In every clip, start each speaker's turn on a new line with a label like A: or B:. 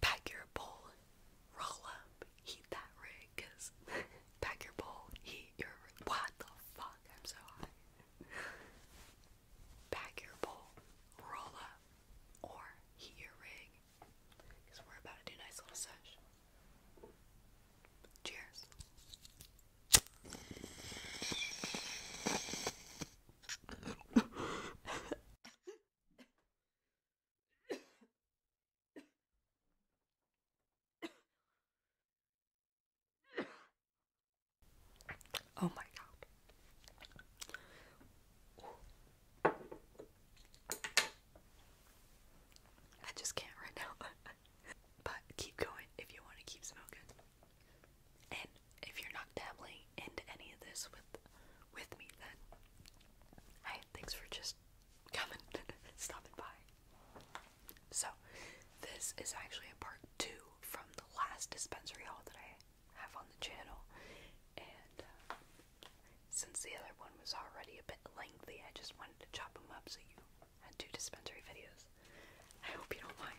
A: pack your bowl, roll up, heat that rig, cause pack your bowl, heat your What the fuck? I'm so hot. Pack your bowl, roll up, or heat your rig, cause we're about to do a nice little sesh. Cheers. oh my god. I just can't right now. but keep going if you want to keep smoking if you're not dabbling into any of this with with me, then hey, thanks for just coming, stopping by. So, this is actually a part two from the last dispensary haul that I have on the channel, and uh, since the other one was already a bit lengthy, I just wanted to chop them up so you had two dispensary videos. I hope you don't mind.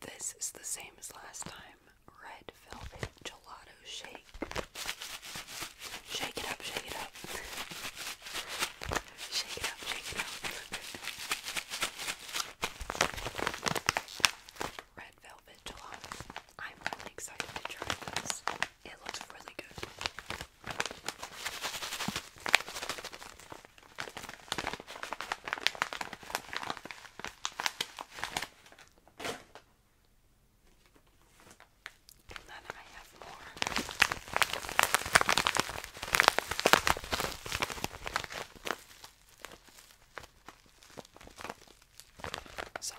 A: This is the same as last time. Red velvet gelato shake. Shake it up, shake it up. Shake it up, shake it up. Red velvet gelato. I'm really excited to try this. It looks really good. Then I have more. Sorry.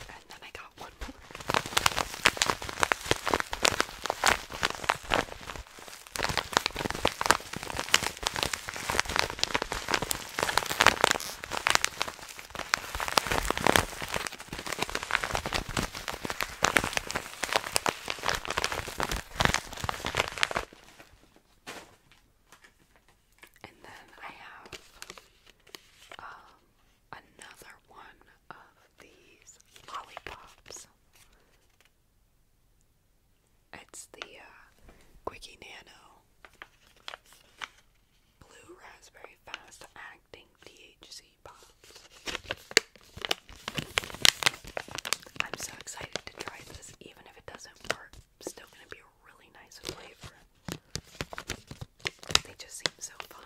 A: and then I got one more. And then I have um, another one of these lollipops. It's the uh, Quickie Nano Blue Raspberry Fast Acting THC Pops. I'm so excited to try this, even if it doesn't work. Still gonna be really nice flavor. They just seem so fun.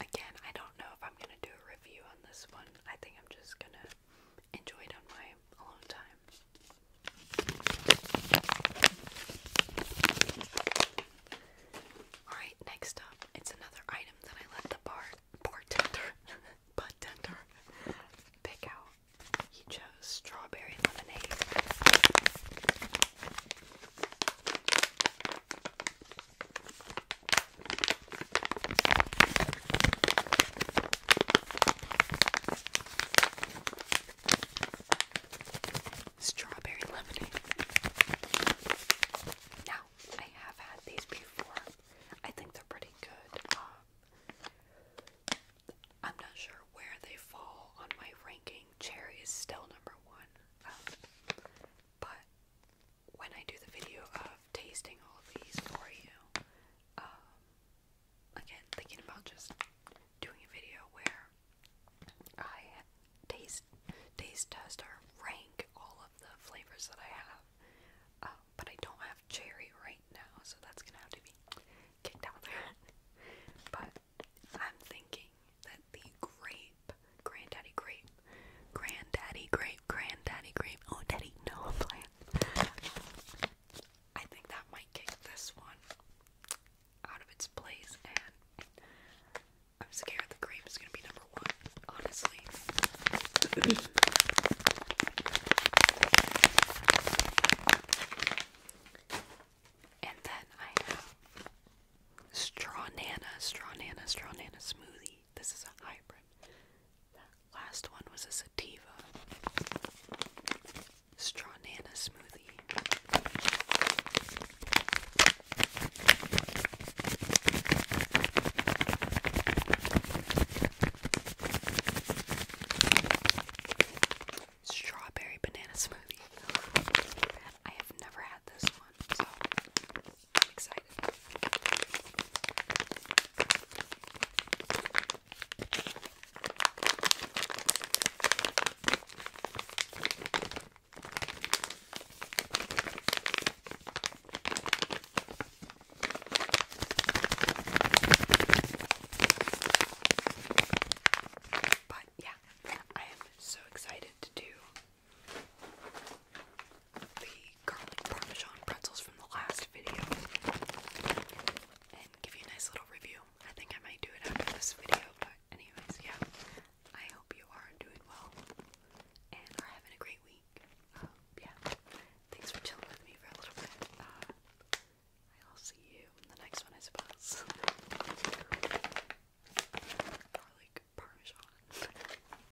A: Again, I don't know if I'm going to do a review on this one. I think I'm just going to enjoyed on my alone time. Alright, next up, it's another item that I let the bar bartender, bartender pick out. He chose strawberry lemonade. Strawberry lemonade. Now, I have had these before. I think they're pretty good. Um, I'm not sure where they fall on my ranking. Cherry is still number one. Um, but when I do the video of tasting all these for you, um, again, thinking about just doing a video where I taste, taste test or rank all of the flavors that I have. Um, but I don't have cherry right now, so that's gonna have to be kicked out there. but I'm thinking that the grape, Granddaddy Grape, Granddaddy Grape granddaddy grape. Oh, daddy, no, i I think that might kick this one out of its place, and I'm scared the grape is gonna be number one, honestly. and then I have straw nana, straw nana, straw nana smoothie. This is a hybrid. Last one was a sativa straw nana smoothie. Strawberry banana smoothie. I have never had this one, I'm excited. But yeah, I am so excited to do the garlic parmesan pretzels from the last video and give you a nice little review. I think I might do it after this video, but anyways, yeah. I hope you are doing well and are having a great week. Um, yeah. Thanks for chilling with me for a little bit. Uh, I'll see you in the next one, I suppose. Garlic parmesan.